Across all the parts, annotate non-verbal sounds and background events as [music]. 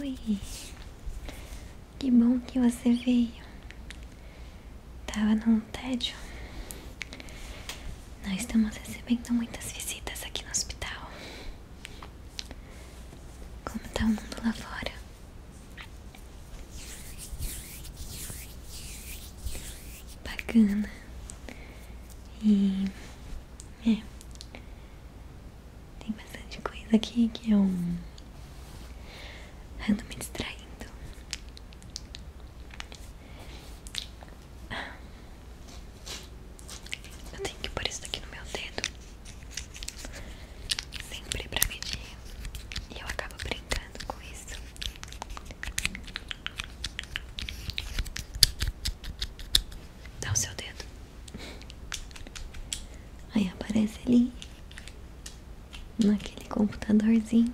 Oi, que bom que você veio. Tava num tédio. Nós estamos recebendo muitas visitas aqui no hospital. Como tá o mundo lá fora? Bacana. E. É. Tem bastante coisa aqui que eu ando me distraindo. Eu tenho que pôr isso aqui no meu dedo. Sempre pra medir. E eu acabo brincando com isso. Dá o seu dedo. Aí aparece ali naquele computadorzinho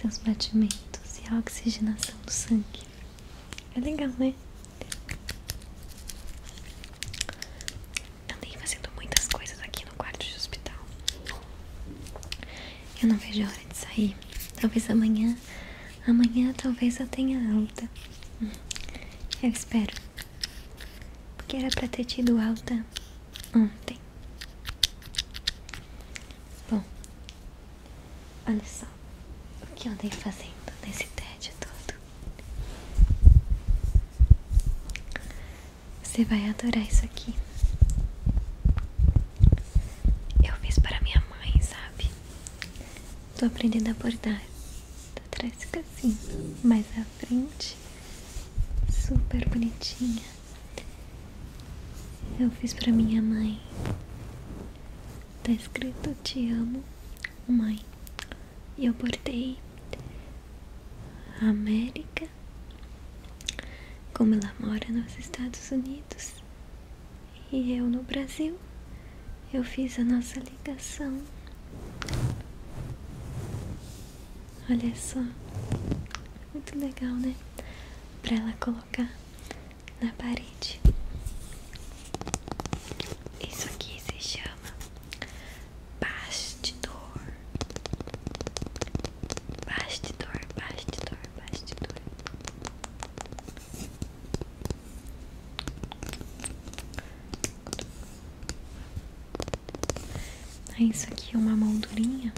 seus batimentos e a oxigenação do sangue. É legal, né? Andei fazendo muitas coisas aqui no quarto de hospital. Eu não vejo a hora de sair. Talvez amanhã Amanhã talvez eu tenha alta. Eu espero. Porque era pra ter tido alta ontem. Bom, olha só o que eu andei fazendo nesse tédio todo. Você vai adorar isso aqui. Eu fiz para minha mãe, sabe? Tô aprendendo a bordar Tô atrás fica assim Mais à frente Super bonitinha Eu fiz pra minha mãe Tá escrito Te amo mãe E eu bordei América como ela mora nos Estados Unidos e eu no Brasil, eu fiz a nossa ligação. Olha só, muito legal, né? Para ela colocar na parede. Isso aqui se chama bastidor. Bastidor, bastidor, bastidor. É isso aqui é uma moldurinha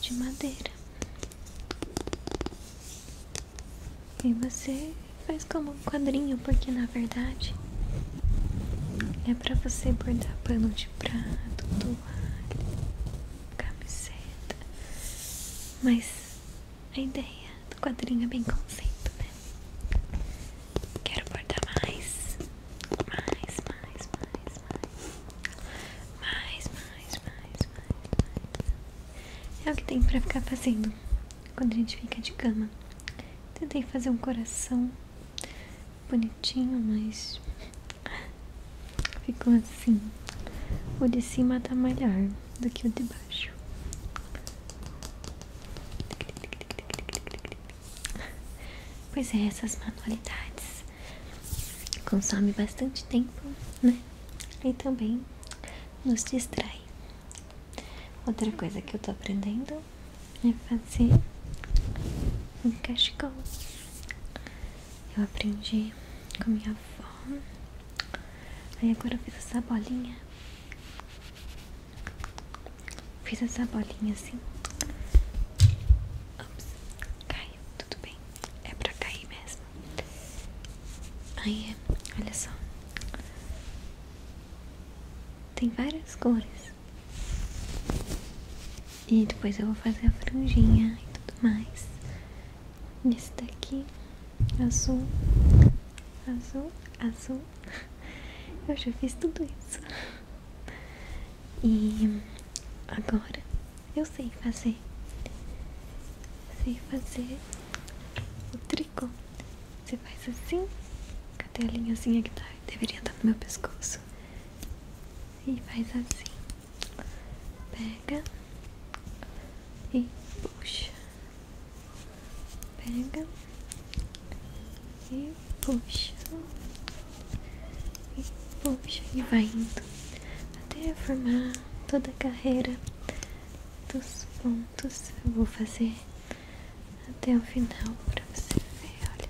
de madeira. E você faz como um quadrinho, porque na verdade é pra você bordar pano de prato, toalha, camiseta. Mas a ideia do quadrinho é bem conceito, né? Quero bordar mais, mais, mais, mais, mais, mais, mais, mais, mais, mais. É o que tem pra ficar fazendo quando a gente fica de cama. Tentei fazer um coração bonitinho, mas ficou assim. O de cima tá melhor do que o de baixo. Pois é, essas manualidades consomem bastante tempo, né? E também nos distrai. Outra coisa que eu tô aprendendo é fazer um cachecol. Eu aprendi com minha avó Aí agora eu fiz essa bolinha. Fiz essa bolinha assim. Ops, caiu, tudo bem. É pra cair mesmo. Aí, olha só. Tem várias cores. E depois eu vou fazer a franjinha e tudo mais. Nesse daqui azul, azul, azul. Eu já fiz tudo isso. E agora eu sei fazer. Sei fazer o tricô. Você faz assim. Cadê a linhazinha que tá? Deveria estar no meu pescoço. E faz assim. Pega e puxa, pega e puxa, e puxa, e vai indo até formar toda a carreira dos pontos. Eu vou fazer até o final para você ver. Olha,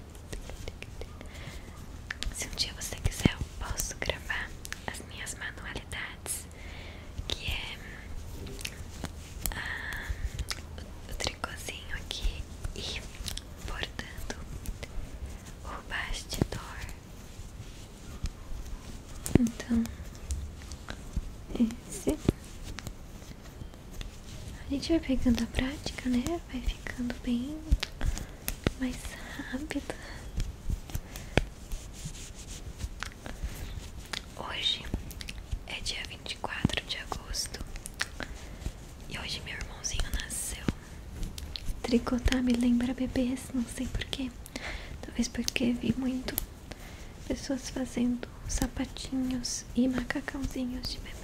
se um dia você quiser, eu posso gravar as minhas manualidades que é ah, o, o tricôzinho aqui e bordando o bastidor. Então, esse a gente vai pegando a prática, né? Vai ficando bem mais rápido. Hoje é dia 24 de agosto e hoje meu irmãozinho nasceu. Tricotar tá, me lembra bebês, não sei porquê. Talvez porque vi muito pessoas fazendo sapatinhos e macacãozinhos de bebê.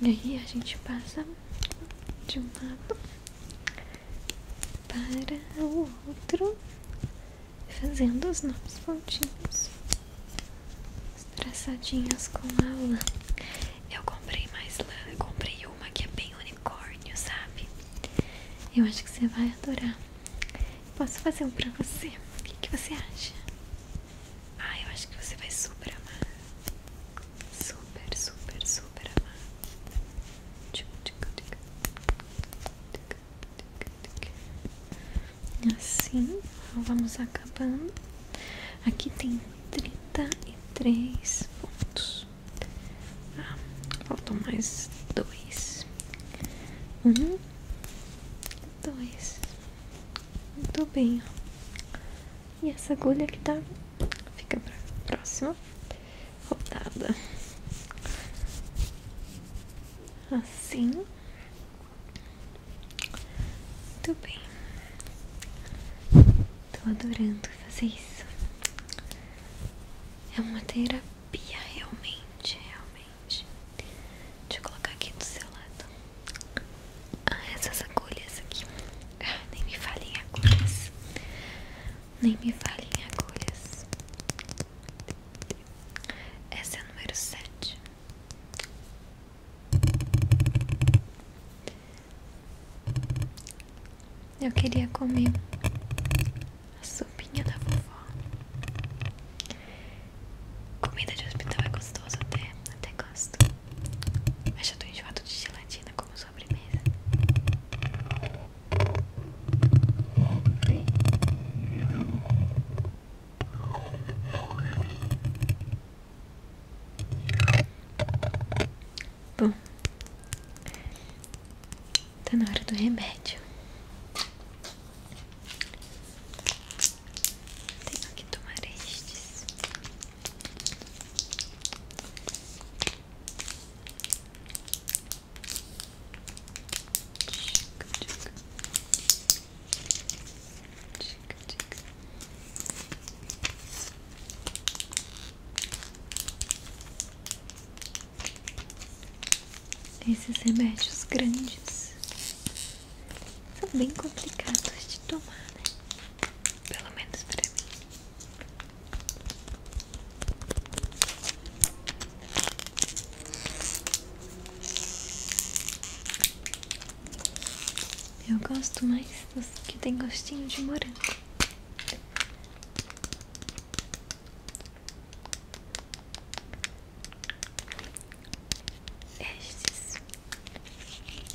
E aí a gente passa de um lado para o outro, fazendo os nossos pontinhos traçadinhos com a lã. Eu comprei mais lã, eu comprei uma que é bem unicórnio, sabe? Eu acho que você vai adorar. Posso fazer um pra você? O que você acha? Ah, eu acho que você vai super amar super, super, super amar. Assim, vamos acabando. Aqui tem 33 pontos. Ah, faltam mais dois. Um, dois. Muito bem, ó. E essa agulha que tá fica pra próxima rodada. Assim. Muito bem. Tô adorando fazer isso. É uma terapia realmente, realmente. Deixa eu colocar aqui do seu lado. Ah, essas agulhas aqui. Ah, nem me falem agulhas. Nem me falem agulhas. Essa é a número 7. Eu queria comer a sopinha da vovó. Comida de hospital é gostoso até, até gosto. Mas já tô enjoado de gelatina, como sobremesa. Bom, tá na hora do remédio. Tenho que tomar estes. Esses remédios grandes são bem complicados de tomar, né? Pelo menos para mim. Eu gosto mais dos que tem gostinho de morango. Estes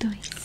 dois,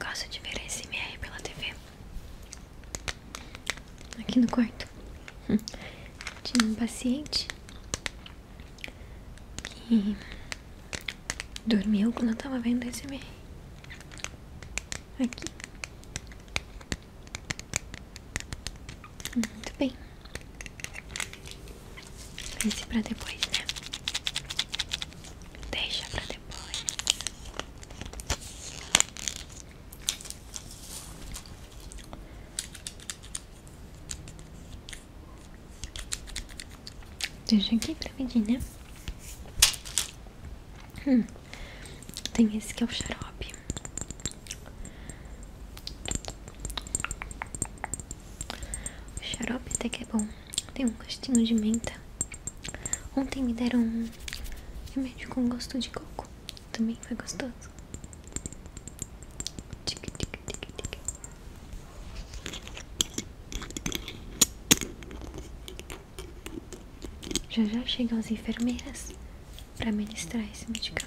Gosto de ver a SMR pela TV aqui no quarto tinha um paciente que dormiu quando eu tava vendo esse MR aqui muito bem esse pra depois né Deixa pra depois. Deixa aqui pra medir né? Hum. Tem esse que é o xarope. O xarope até que é bom. Tem um gostinho de menta. Ontem me deram um remédio com gosto de coco. Também foi gostoso. Tic, tic, tic, tic. Já já chegam as enfermeiras para ministrar esse medicamento.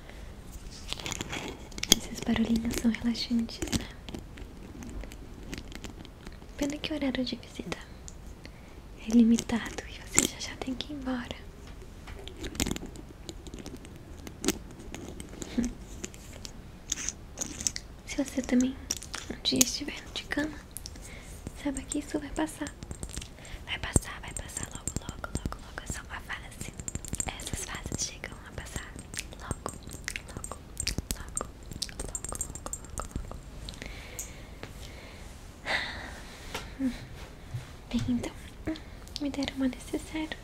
Esses barulhinhos são relaxantes, né? Pena que o horário de visita é limitado e você já já tem que ir embora. [laughs] Se você também um dia estiver de cama, saiba que isso vai passar. Vai passar, vai passar logo, logo, logo, logo. É só uma fase. Essas fases chegam passar logo, logo, logo, logo, logo, logo, logo. Bem, então, me deram uma necessário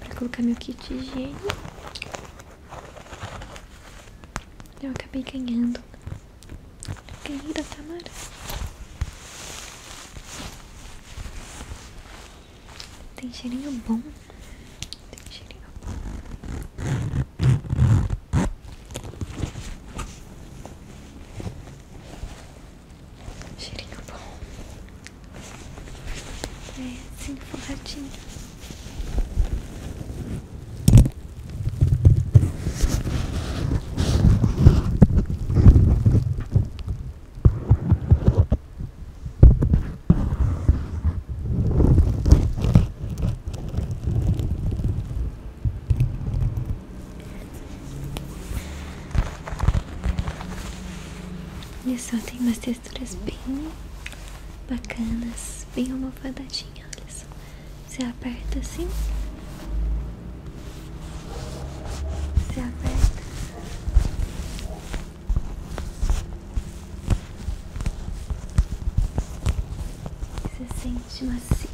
para colocar meu kit de higiene. Eu acabei ganhando. Ganhei da Tamara. Tem cheirinho bom. cheirinho bom. Cheirinho bom. É assim, forradinho. Olha só, tem umas texturas bem bacanas, bem almofadadinha, olha só. Você aperta assim se aperta. Você sente macio.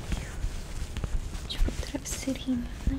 Tipo um travesseirinho, né?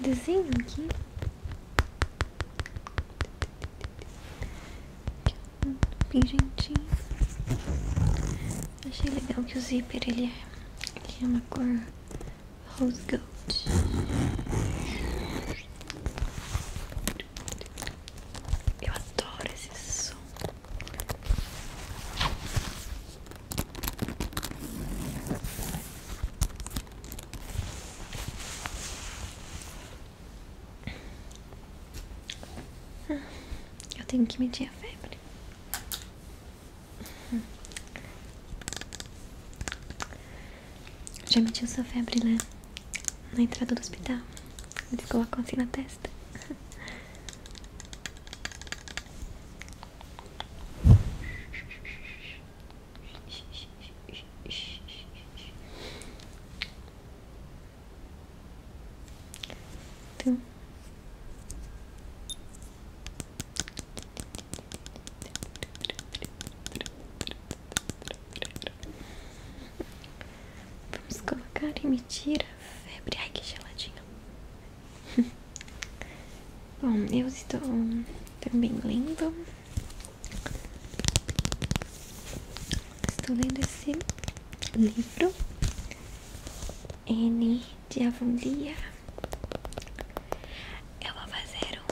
Desenho aqui. Um pingentinho. Achei legal que o zíper ele é, ele é uma cor rose gold. Eu adoro esse som. Eu tenho que medir a febre. Hum. Já mediu sua febre né? na entrada do hospital? ele Eles a assim na testa. Então. Vamos colocar e medir febre. Ai, que geladinho. [laughs] Bom, eu estou também lendo. Estou lendo esse livro. N de Avonlia. Eu vou zero.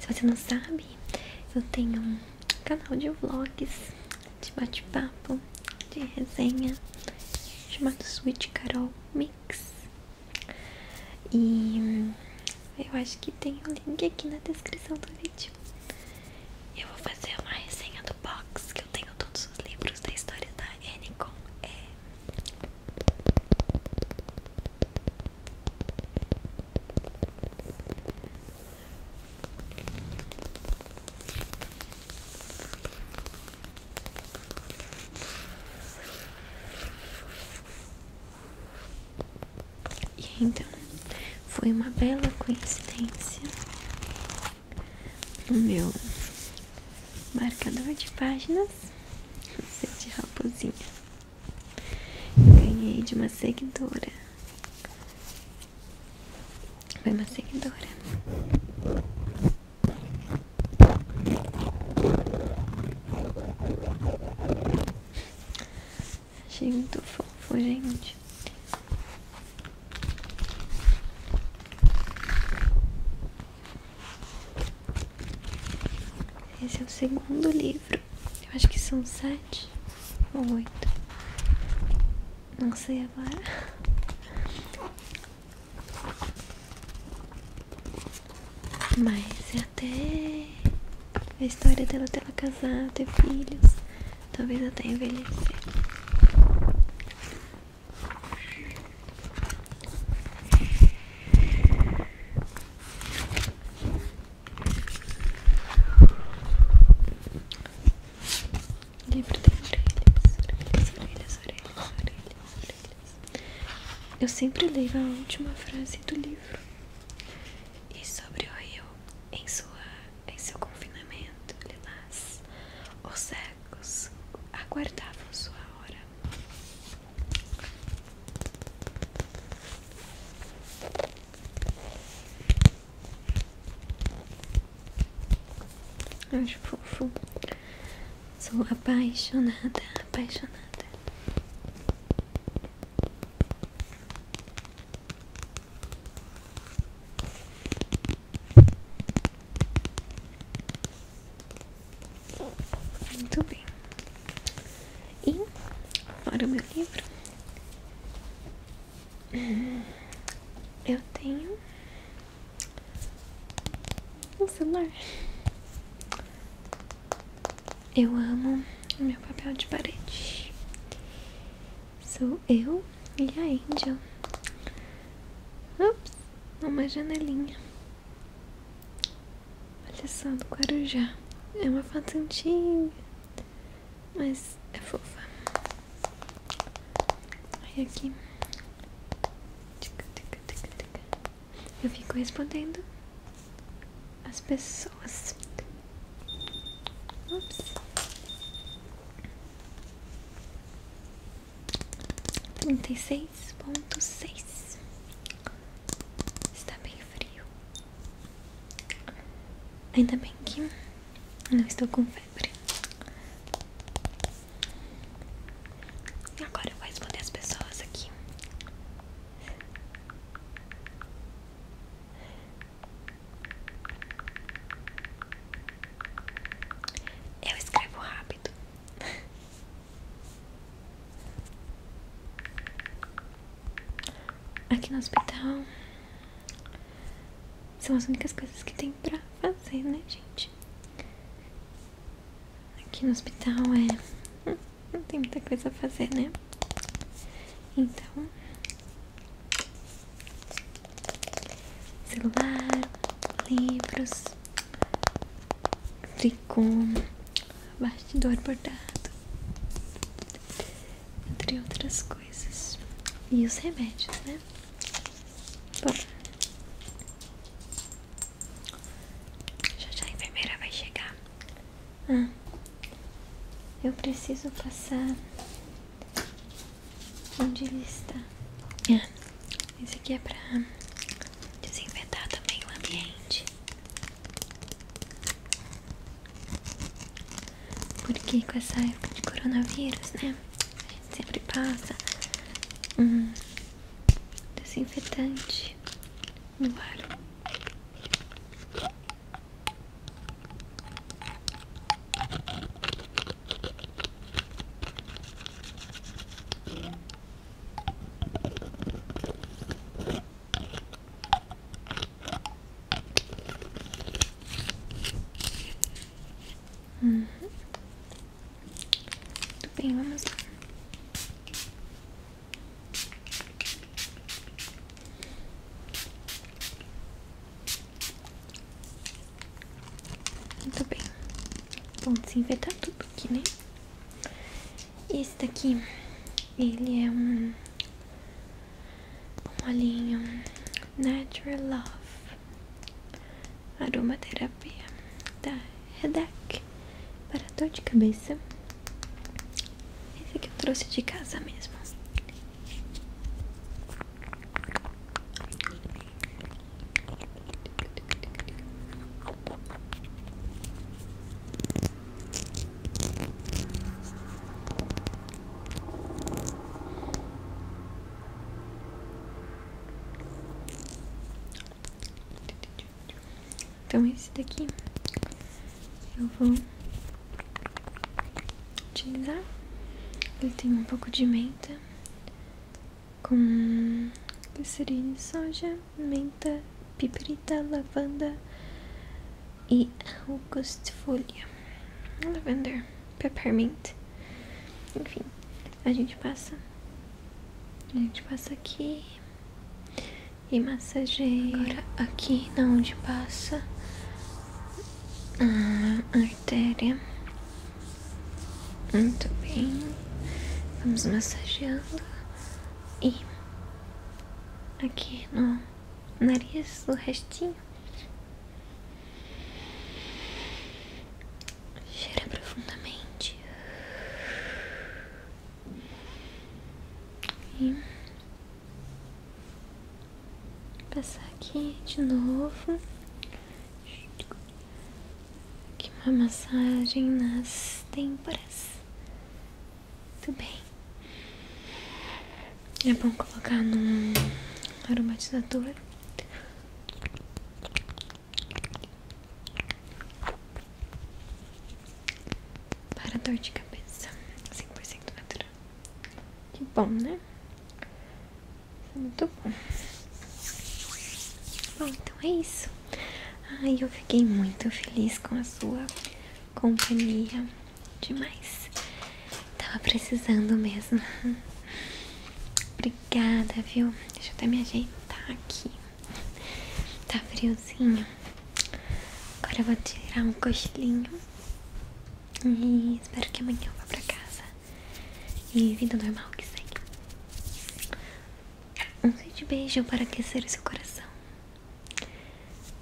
Se você não sabe, eu tenho um canal de vlogs de bate-papo, de resenha, chamado Sweet Carol Mix. E eu acho que tem o um link aqui na descrição do vídeo. Eu vou fazer uma resenha do box que eu tenho todos os livros da história da Enicon. É... E então foi uma bela coincidência no meu marcador de páginas de raposinha. ganhei de uma seguidora foi uma seguidora. Achei muito fofo, gente. Esse é o segundo livro. Eu acho que são sete ou oito. Não sei agora. Mas até a história dela ter ela casar, ter filhos, talvez até envelhecer livro tem orelhas, orelhas, orelhas, orelhas, orelhas, Eu sempre leio a última frase do livro. E sobre o rio, em, sua, em seu confinamento, lilás, os cegos aguardavam sua hora. Acho fofo. Sou apaixonada, apaixonada. Muito bem. E para o meu livro eu tenho um celular. Eu amo o meu papel de parede. Sou eu e a Angel. Ups, uma janelinha. Olha só, do Guarujá. É uma foto antiga. Mas é fofa. Aí aqui. Eu fico respondendo as pessoas. Ups. Trinta e seis ponto seis. Está bem frio. Ainda bem que não estou com febre. Agora eu vou responder as pessoas aqui. Eu escrevo rápido. Aqui no hospital. São as únicas coisas que tem pra fazer, né, gente? Aqui no hospital é. Hum, não tem muita coisa a fazer, né? Então. Celular, livros, tricô, bastidor bordado, entre outras coisas. E os remédios, né? Já já a enfermeira vai chegar. Ah. eu preciso passar onde está. É. esse aqui é pra desinfetar também o ambiente. Porque com essa época de coronavírus, né? A gente sempre passa um desinfetante no ar. Uhum. bem, vamos lá. Muito bem. Bom, desinfetar tudo aqui, né? Esse daqui, ele é um, um olhinho Natural Love, aromaterapia da Redac para dor de cabeça. Esse aqui eu trouxe de casa mesmo. Então esse daqui eu vou utilizar. Ele tem um pouco de menta com glicerina, soja, menta, piperita, lavanda e folha Lavender peppermint. Enfim, a gente passa. A gente passa aqui e massageia. Agora aqui na onde passa a artéria. Muito bem. Vamos massageando. E aqui no nariz, o restinho. Cheira profundamente e passar aqui de novo. Aqui uma massagem nas têmporas. Muito bem. É bom colocar no aromatizador. Para dor de cabeça, 100% natural. Que bom, né? É muito bom. Bom, então é isso. Ai, eu fiquei muito feliz com a sua companhia demais. Tava precisando mesmo. Obrigada, viu? Deixa eu até me ajeitar aqui. Tá friozinho. Agora eu vou tirar um cochilinho. E espero que amanhã eu vá pra casa. E vida normal que segue. Um grande beijo para aquecer o seu coração.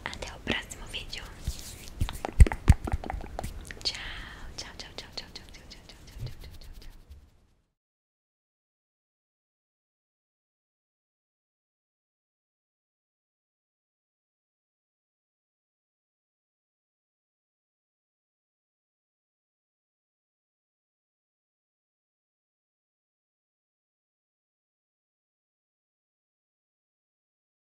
Até o próximo vídeo. Tchau, tchau, tchau, tchau, tchau, tchau, tchau, tchau, tchau, tchau, tchau, tchau.